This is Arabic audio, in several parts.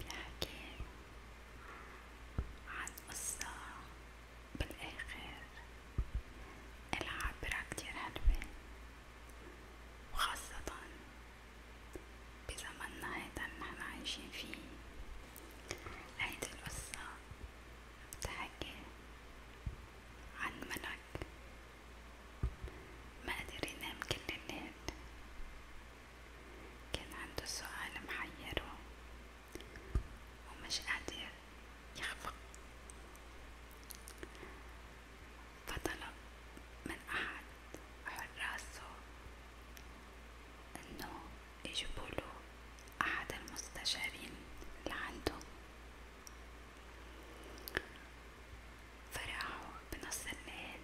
بنحكي عن قصة بالآخر إلها عبرة كتير حلوة وخاصة بزمننا هيدا اللي نحنا عايشين فيه هيدي القصة بتحكي عن ملك ما قدر ينام كل الليل كان عنده سؤال محيره ومش قادر يخفق فطلب من أحد حراسه إنه يجيبوله أحد المستشارين اللي عنده فرحوا بنص الليل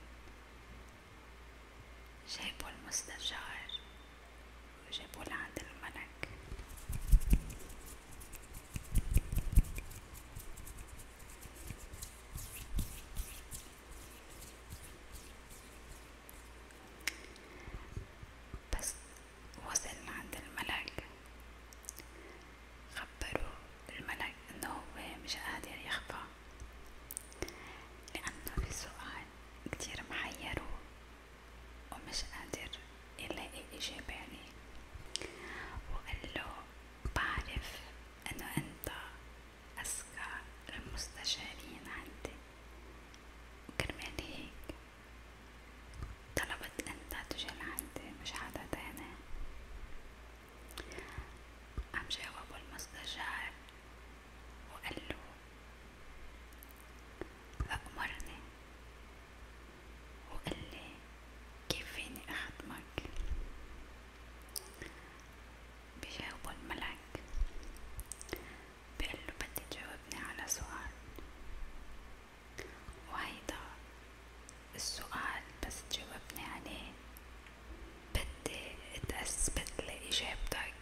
جابوا المستشار وجابوا لعند الملك بس وصل لعند الملك خبروا الملك انه هو مش قادر يخفى لأنه في سؤال كتير محيرو ومش قادر يلاقي إجابة عليه وقاله بعرف إنه أنت أذكى المستشارين عندي وكرمال هيك طلبت أنت تجي لعندي مش حدا تاني قام جاوبه المستشار وقال له فأمرني وقال لي كيف فيني أخدمك بجاوبه الملك بقال له بدي تجاوبني على سؤال وهيدا السؤال بس تجاوبني عليه بدي اتأثبت لإجابتك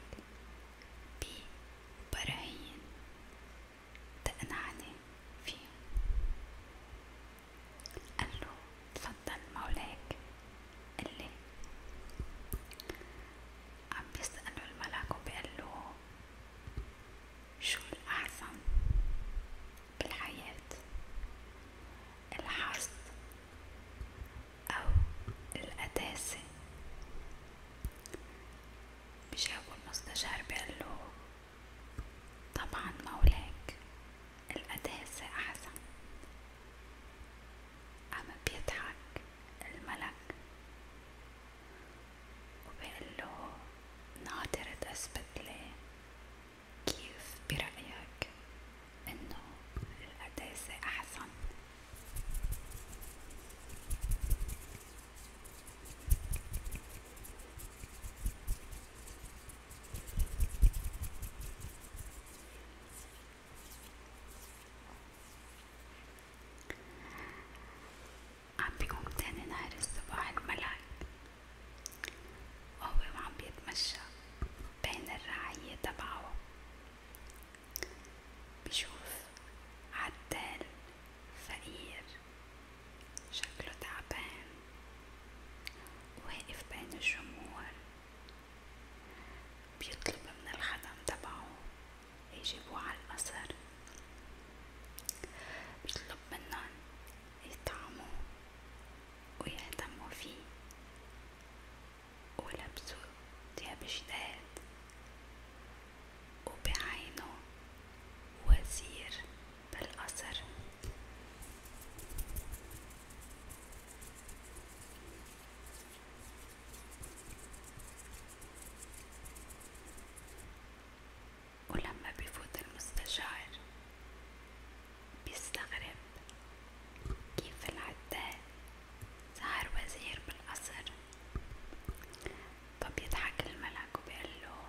ببراهين تقنعني فيهم قاله تفضل مولاك اللي عم يسأله الملك وبيقله شو الأحسن بالحياة الحظ أو القداسة بجاوبه المستشار بقاله طبعا مولاك القداسة أحسن أما بيضحك الملك وبقاله ناطر تثبت لي كيف برأيك إنه القداسة أحسن؟ عم بيقوم تاني نهار الصباح الملك وهو عم بيتمشى بين الرعية تبعه بشوف عدال فقير شكله تعبان واقف بين الجموع بيطلب من الخدم تبعه يجيبوه على القصر بيطلب منن يطعموه ويهتموا فيه ولبسوا ثياب جداد وبعينه وزير بالقصر ولما بفوت المستشار بيستغرب كيف العداد صار وزير بالقصر فبيضحك الملك وبيقله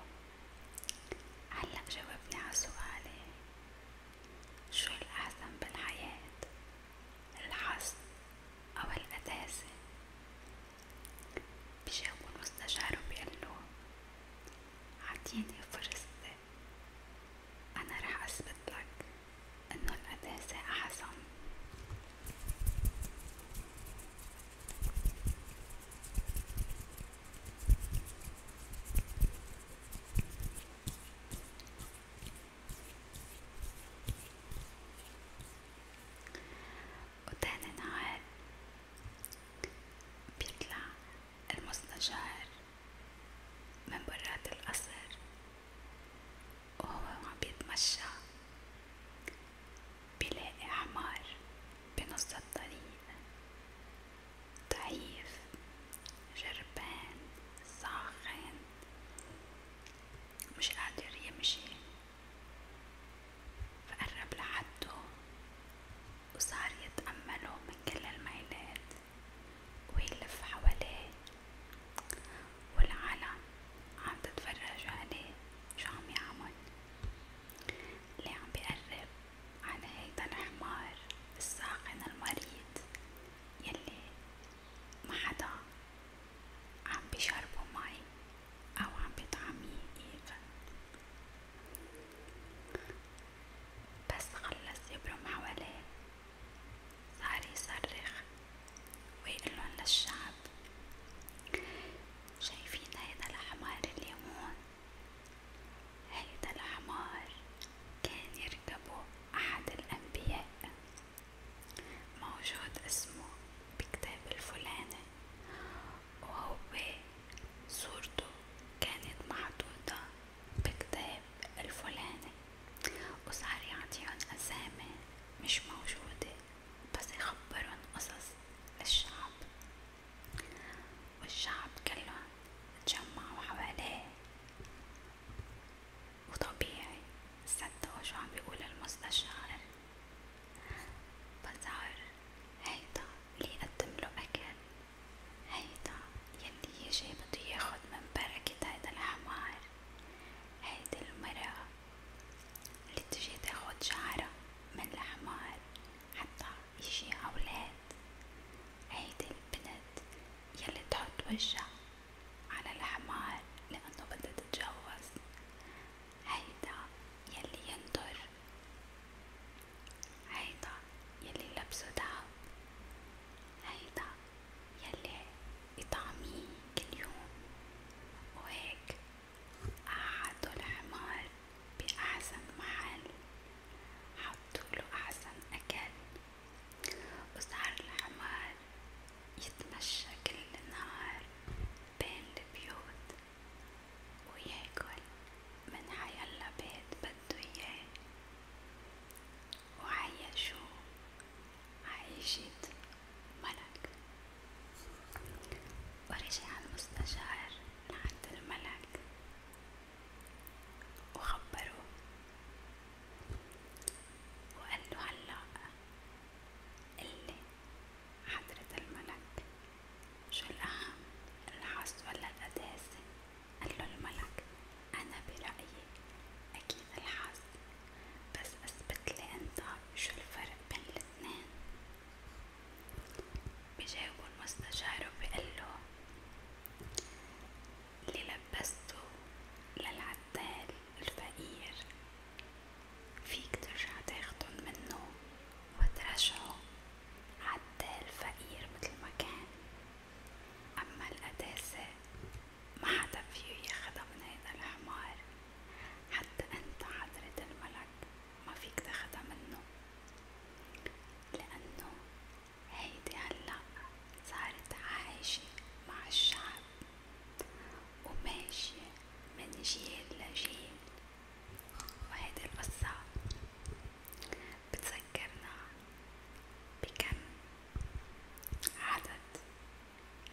هلا جاوبني على سؤالي شو الأحسن بالحياة الحظ أو القداسة بيجاوب المستشار وبيقله عطيني فرصتي أنا رح أثبتلك إنه القداسة أحسن وتاني نهار بيطلع المستشار من برات القصر وهو عم بيتمشى بيلاقي حمار بنص الطريق ضعيف جربان ساخن مش قادر يمشي فقرب لحده وصار يتأمله من كل الميلات ويلف حواليه والعالم عم تتفرج عليه شو عم يعمل اللي عم بيقرب على هيدا الحمار الساخن المريض يلي ما حدا عم بيشربه مي أو عم بطعميه إيفا بس خلص يبرم حواليه صار يصرخ ويقلن للشعب شايفين هيدا الحمار اللي هون هيدا الحمار كان يركبه أحد الأنبياء موجود اسمه بكتاب الفلاني وهو صورته كانت محطوطة بكتاب الفلاني وصار يعطيهم أسامي مش موجودة بس يخبرن قصص الشعب والشعب كلهم تجمعوا حواليه وطبيعي صدقوا شو عم بيقول المستشار بظهر هيدا اللي يقدم له أكل هيدا يلي يجي بدو ياخد من بركة هيدا الحمار هيدي المرأة اللي تجي تاخد شعرة من الحمار حتى يجي أولاد هيدي البنت يلي تحط وجها على الحمار لأنه بدها تتجوز هيدا يلي ينضر هيدا يلي لبسه دهب هيدا يلي يطعميه كل يوم وهيك قعدوا الحمار بأحسن محل حطوله أحسن أكل وصار الحمار يتمشى كل النهار بين البيوت وياكل من حيلا بيت بدو اياه وعيشو عيشة ملك ورجع المستشار لعند الملك وخبروه وقالو هلأ اللي حضرة الملك شو الأهم الحظ ولا القداسة قاله الملك أنا برأيي أكيد الحظ بس أثبتلي أنت شو الفرق بين الاتنين بجاوبه المستشار وبقله اللي لبسته للعتال الفقير فيك ترجع تاخدن منه وترجعه عدال فقير متل ما كان أما القداسة ما حدا فيه ياخدها من هيدا الحمار حتى أنت حضرة الملك ما فيك تاخدها منه لأنه هيدي هلأ صارت عايشة مع الشعب وماشية من جيل لجيل وهيدي القصة بتذكرنا بكم عدد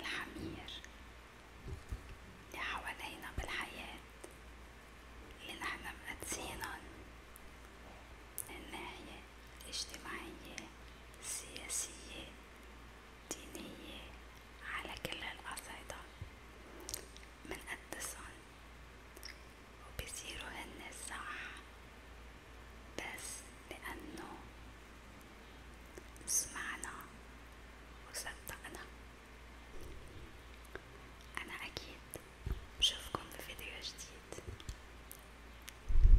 الحمير اللي حوالينا بالحياة اللي نحن مقدسينن الناحية الاجتماعية السياسية دينية على كل هالقصايدة منقدسن وبصيروا هن صح بس لأنه سمعنا وصدقنا أنا أكيد بشوفكم بفيديو جديد